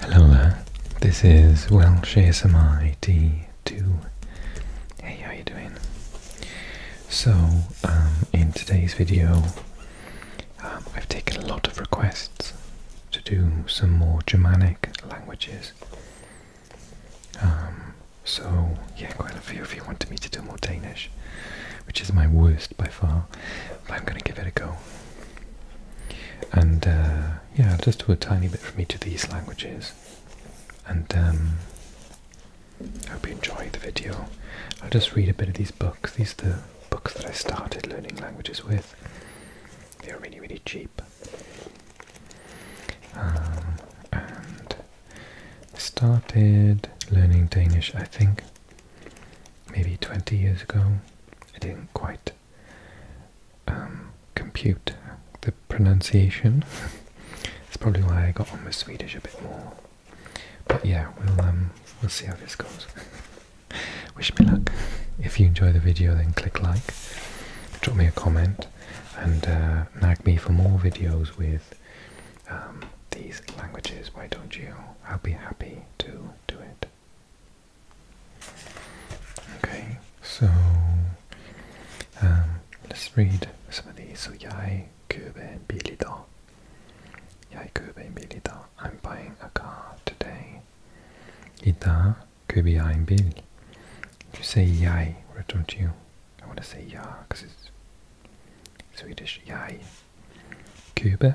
Hello there, this is Welsh ASMR D2. Hey, how you doing? So, um, in today's video, um, I've taken a lot of requests to do some more Germanic languages. Um, so, yeah, quite a few of you wanted me to do more Danish, which is my worst by far, but I'm going to give it a go. And uh, yeah, I'll just do a tiny bit from each of these languages. And I um, hope you enjoy the video. I'll just read a bit of these books. These are the books that I started learning languages with. They are really, really cheap. Um, and I started learning Danish, I think, maybe 20 years ago. I didn't quite um, compute the pronunciation. That's probably why I got on with Swedish a bit more. But yeah, we'll um, we'll see how this goes. Wish me luck. If you enjoy the video, then click like, drop me a comment, and uh, nag me for more videos with um, these languages. Why don't you? I'll be happy to do it. Okay, so um, let's read some of these. So, jag köper bil idag. Jag köper en bil idag. I'm buying a car today. Idag köper jag en bil. You say jag, or don't you? I want to say ja because it's Swedish. Jag köper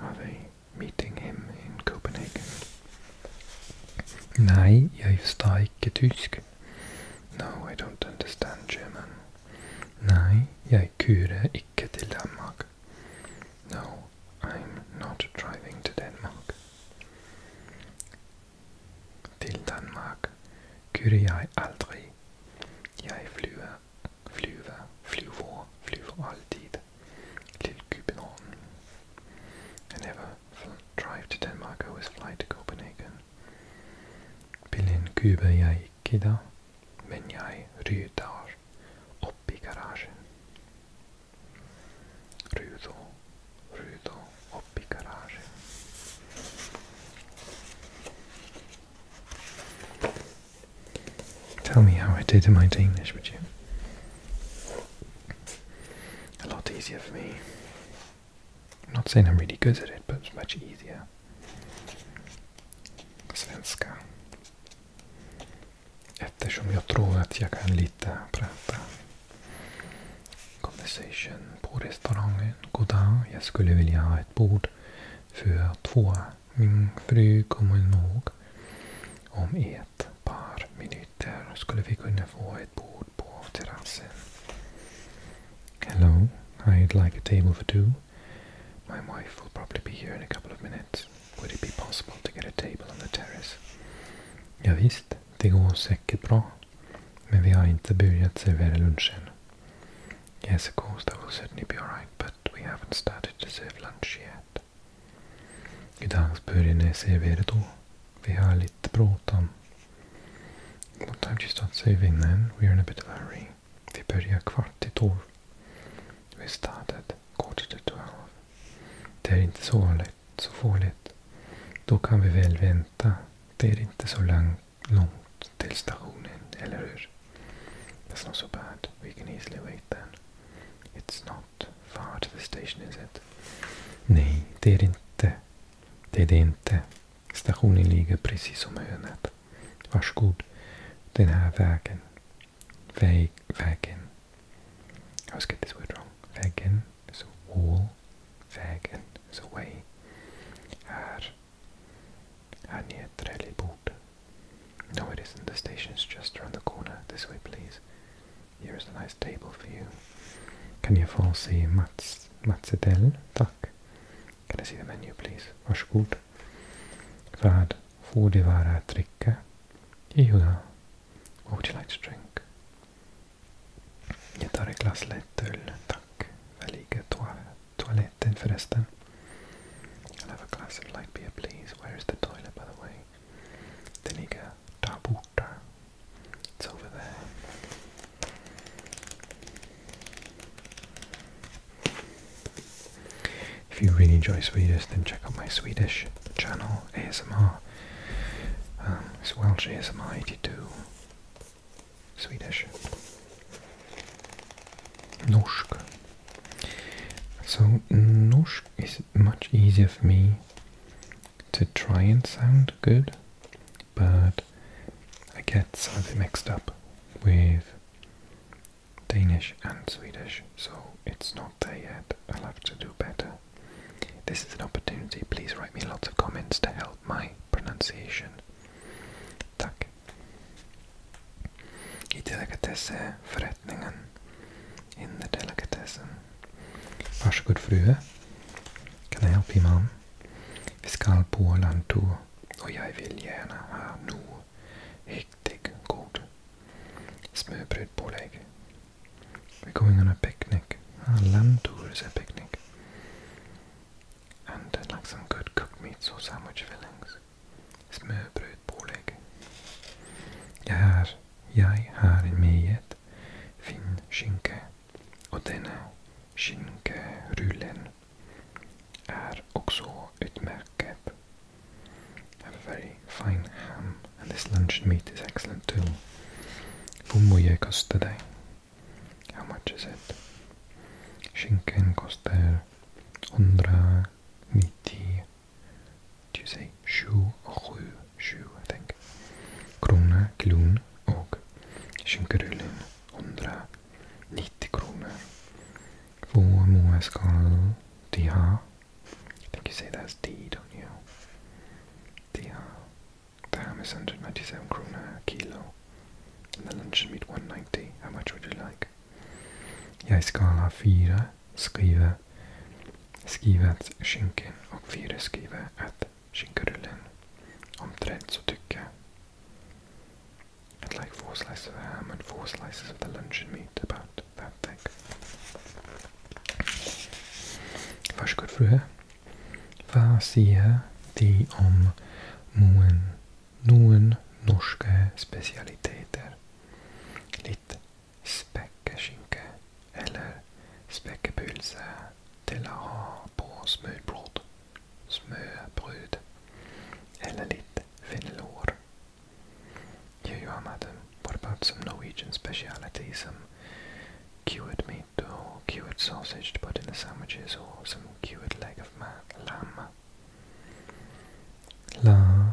Are they meeting him in Copenhagen? Nej, jag förstår inte tysk. No, I don't understand German. Nej, jag kör inte till Danmark. No, I'm not driving to Denmark. Till Danmark kører jeg er aldrig. Jeg flyver, flyver, flyver, flyver altid. Lille Cubillon. I never drive to Denmark, I always fly to Copenhagen. Bilen kuuber jag idag, men jag rydar upp i garagen. Rudo, rudo, upp Tell me how I did in my Danish, would you? A lot easier for me. I'm not saying I'm really good at it, but it's much easier. Svenska. Eftersom jag tror att jag kan lite prata. Conversation på restaurangen. Goddag, jag skulle vilja ha ett bord för två min Fru, kom ihåg. Om ett par minuter skulle vi kunna få ett bord på terrassen. Hello, I'd like a table for two. My wife will probably be here in a couple of minutes. Would it be possible to get a table on the terrace? Ja, visst, det går säkert bra. Men vi har inte börjat servera lunchen. Yes, of course, that will certainly be alright, but we haven't started to serve lunch yet. Idagsbörjene serveerdo. Vi har lite bråttom. What time she starts saving then? We're in a bit of a hurry. Vi börjar kvart i tolv. We started quarter to twelve. Det är inte så lätt, så farligt. Då kan vi väl vänta. Det är inte så långt till stationen, eller hur? That's not so bad. We can easily wait then. It's not out. Far to the station is it? Nej, det är det inte. Det är det inte. Stationen ligger precis om hörnet. Varsågod. Den här vägen. Väg, vägen. I always get this word wrong. Vägen is a wall. Vägen is a way. Här. Här nere, Trelleborg. No, it isn't. The station is just around the corner. This way, please. Here is a nice table for you. Can you få Mats, Mats Edell? Tack. Kan jag the menu, please? Varsågod. Vad får det vara att What would you like to drink? Jag tar ett glas lättöl, tack. Var ligger toaletten förresten? I'll have a glass of light beer, please. Where is the toilet, by the way? Then you Tabuta. It's over there. If you really enjoy Swedish, then check out my Swedish channel, ASMR. Um, it's ASMR 82. Swedish. Norsk. So Norsk is much easier for me to try and sound good, but I get some of it mixed up with Danish and Swedish, so it's not there yet. I'll have to do better. This is an opportunity. Please write me lots of comments to help my pronunciation. Tack. I delikatessförrättningen. In the delicatessen. Varsågod fru. Kan I help you mom? Vi skall på Lanto och jag vill gärna ha nu. riktigt god smörbröd pålägg. We're going on a picknick. Ah, is a picnic. And like some good cooked meats or sandwich fillings smörbröd, pålägg. Jag har, jag har med fin skinka och denna skinkarullen är också utmärkt. Have a very fine ham and this luncheon meat is excellent too. Hur mycket kostar det? How much is it? Skinkan kostar 190 Do you say sju och sju? Sju, I think. Krona, klon och kinkerullen. 190 kronor. Två måskal, diha. I think you say that's D, don't you? Diha. Damn is 197 krona a kilo. And the luncheon meat 190. How much would you like? Jag ska ha fyra skriva skrivats skinken och fyra skriva att skinkorullen omträdd så tycker I'd like four slices of ham and four slices of the luncheon meat about that thick. Varsågod fru. Vad säger de om någon, någon norska specialiteter? Lite späckeskinka eller späckepylse till att ha på smörbröd, smörbröd eller lite fennolor. Jag gör med dem både about some Norwegian speciality, some cured meat och cured sausage to put in the sandwiches or some cured leg of lamb. La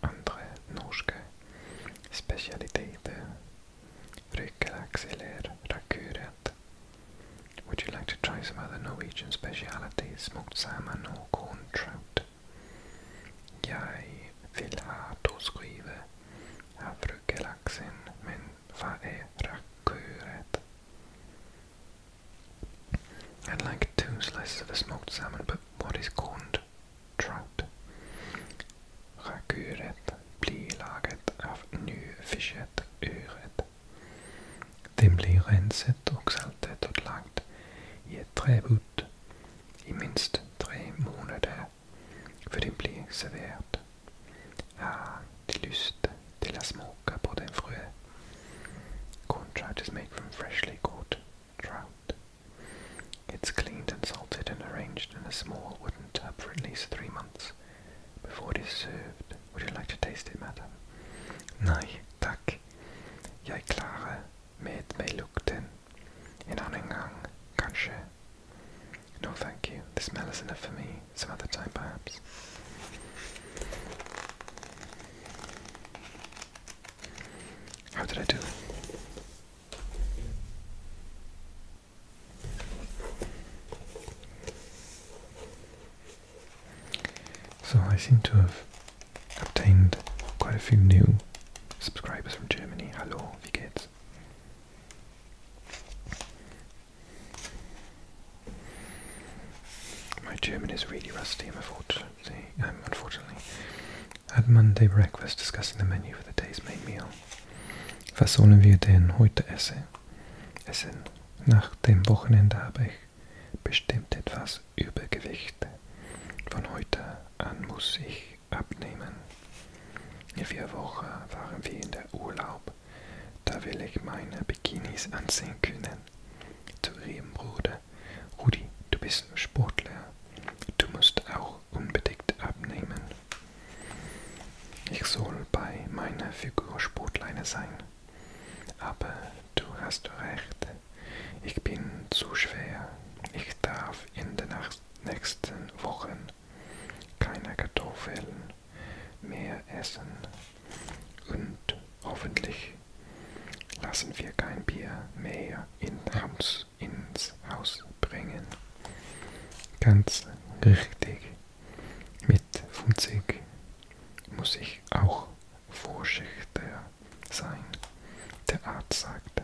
andra norska specialiteter. Rykkelax eller rakuret. Would you like to try some other Norwegian specialities? Smoked salmon or corn trout? Jag vill ha torskryiver av ruggelaxen, men vad är rakuret? I'd like two slices of the smoked salmon, but what is corn trout. Rakuret blir laget av nyfisket ørret. Den blir renset og saltet og lagt i et trebod i minst tre måneder før den blir servert. Har ah, de lyst til å smake på den frø? made from freshly caught trout. It's cleaned and salted and arranged in a small wooden tub for at least three months before it is served. Would you like to taste it, madam? Nei, takk. Jeg klarer med meg lukten. En annen gang, No, thank you. The smell is enough for me. Some other time, perhaps. How did I do? So I seem to have obtained quite a few new subscribers from Germany. Hello, wie My German is really rusty, I'm unfortunately. i um, unfortunately Add Monday breakfast, discussing the menu for the day's main meal. Was sollen wir denn heute essen? Essen. Nach dem Wochenende habe ich bestimmt etwas Übergewicht. Von heute an muss ich abnehmen. In vier Wochen waren wir in der Urlaub. Da will ich meine Bikinis anziehen können. Zu ihrem Bruder Rudi, du bist Sportler. Du musst auch unbedingt abnehmen. Ich soll bei meiner Figur Sportleiner sein. Aber du hast recht. Ich bin zu schwer. Ich darf in den nächsten Wochen keine Kartoffeln mehr essen. Und hoffentlich lassen wir kein Bier mehr in Hams Fuß ins Haus bringen. Ganz richtig. Mit 50 muss ich auch vorsichtiger sein. Der Arzt sagt,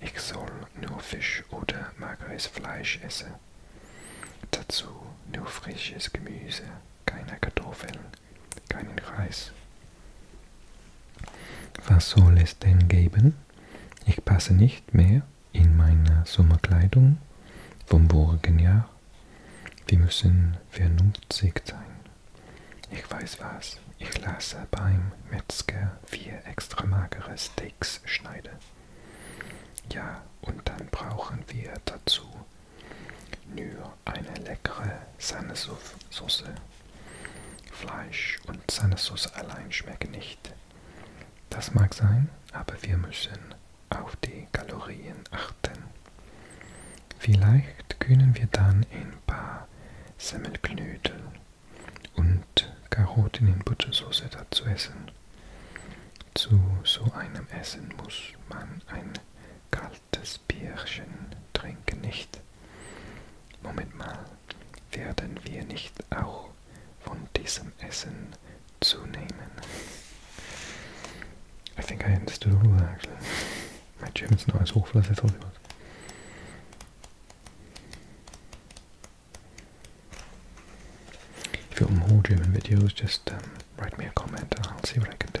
ich soll nur Fisch oder mageres Fleisch essen. Dazu nur frisches Gemüse, keine Kartoffeln, keinen Reis, was soll es denn geben? Ich passe nicht mehr in meine Sommerkleidung vom vorigen Jahr. Wir müssen vernünftig sein. Ich weiß was, ich lasse beim Metzger vier extra magere Steaks schneiden. Ja, und dann brauchen wir dazu nur eine leckere Sahnesoße. Fleisch und Sahnesauce allein schmecken nicht. Das mag sein, aber wir müssen auf die Kalorien achten. Vielleicht können wir dann ein paar Semmelknödel und Karotten in Buttersauce dazu essen. Zu so einem Essen muss man ein kaltes Bierchen trinken, nicht? Moment mal, werden wir nicht auch von diesem Essen zunehmen? I think I understood all of that actually. My German's not as awful as I thought it was. If you want more German videos, just um, write me a comment and I'll see what I can do.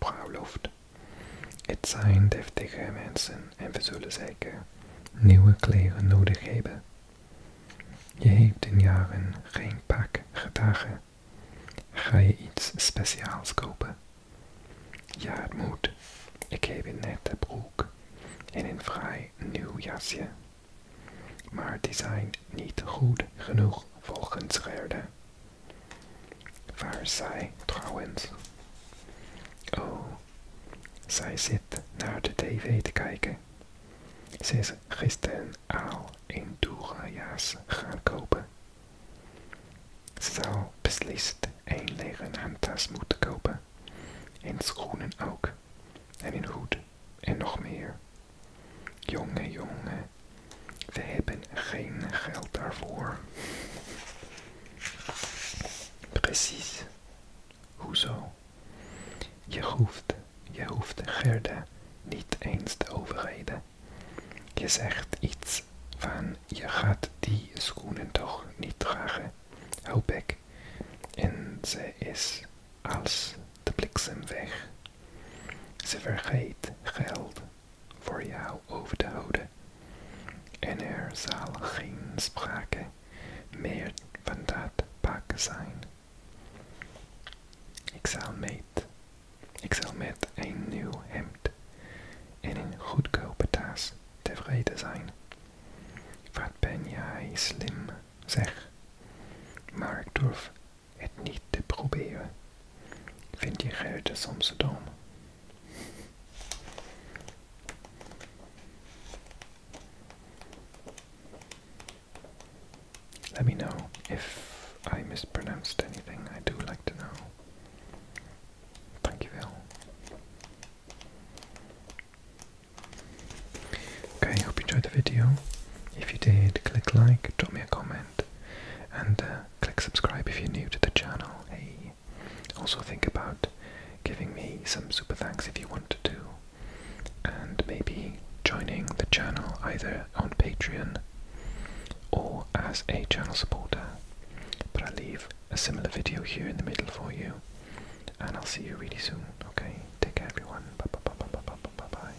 bruiloft. Het zijn deftige mensen en we zullen zeker nieuwe kleren nodig hebben. Je hebt in jaren geen pak gedragen. Ga je iets speciaals kopen? Ja, het moet. Ik heb een nette broek en een vrij nieuw jasje. Maar die zijn niet goed genoeg volgens Gerda. Waar zij trouwens Oh, zij zit naar de tv te kijken. Ze is gisteren al een doerajaars gaan kopen. Ze zal beslist een leren handtas moeten kopen. En schoenen ook. En een hoed. En nog meer jonge jongen, we hebben geen geld daarvoor. Precies. Hoezo? Je hoeft, je hoeft Gerda niet eens te overreden. Je zegt iets van je gaat die schoenen toch niet dragen. Hou bek. En ze is als de bliksem weg. Ze vergeet geld voor jou over te houden. En er zal geen sprake meer van dat pak zijn. Ik zal met, ik zal met een nieuw hemd en een goedkope tas tevreden zijn. Wat ben jij slim, zeg. Maar ik durf Let me know if I mispronounced anything. I do like to know. Thank you, Phil. Okay, hope you enjoyed the video. If you did, click like, drop me a comment, and uh, click subscribe if you're new to the channel. Hey, also think about giving me some super thanks if you want to, and maybe joining the channel either on Patreon or as a channel supporter. But I'll leave a similar video here in the middle for you, and I'll see you really soon. Okay, take care, everyone. Bye bye bye bye bye bye bye. bye.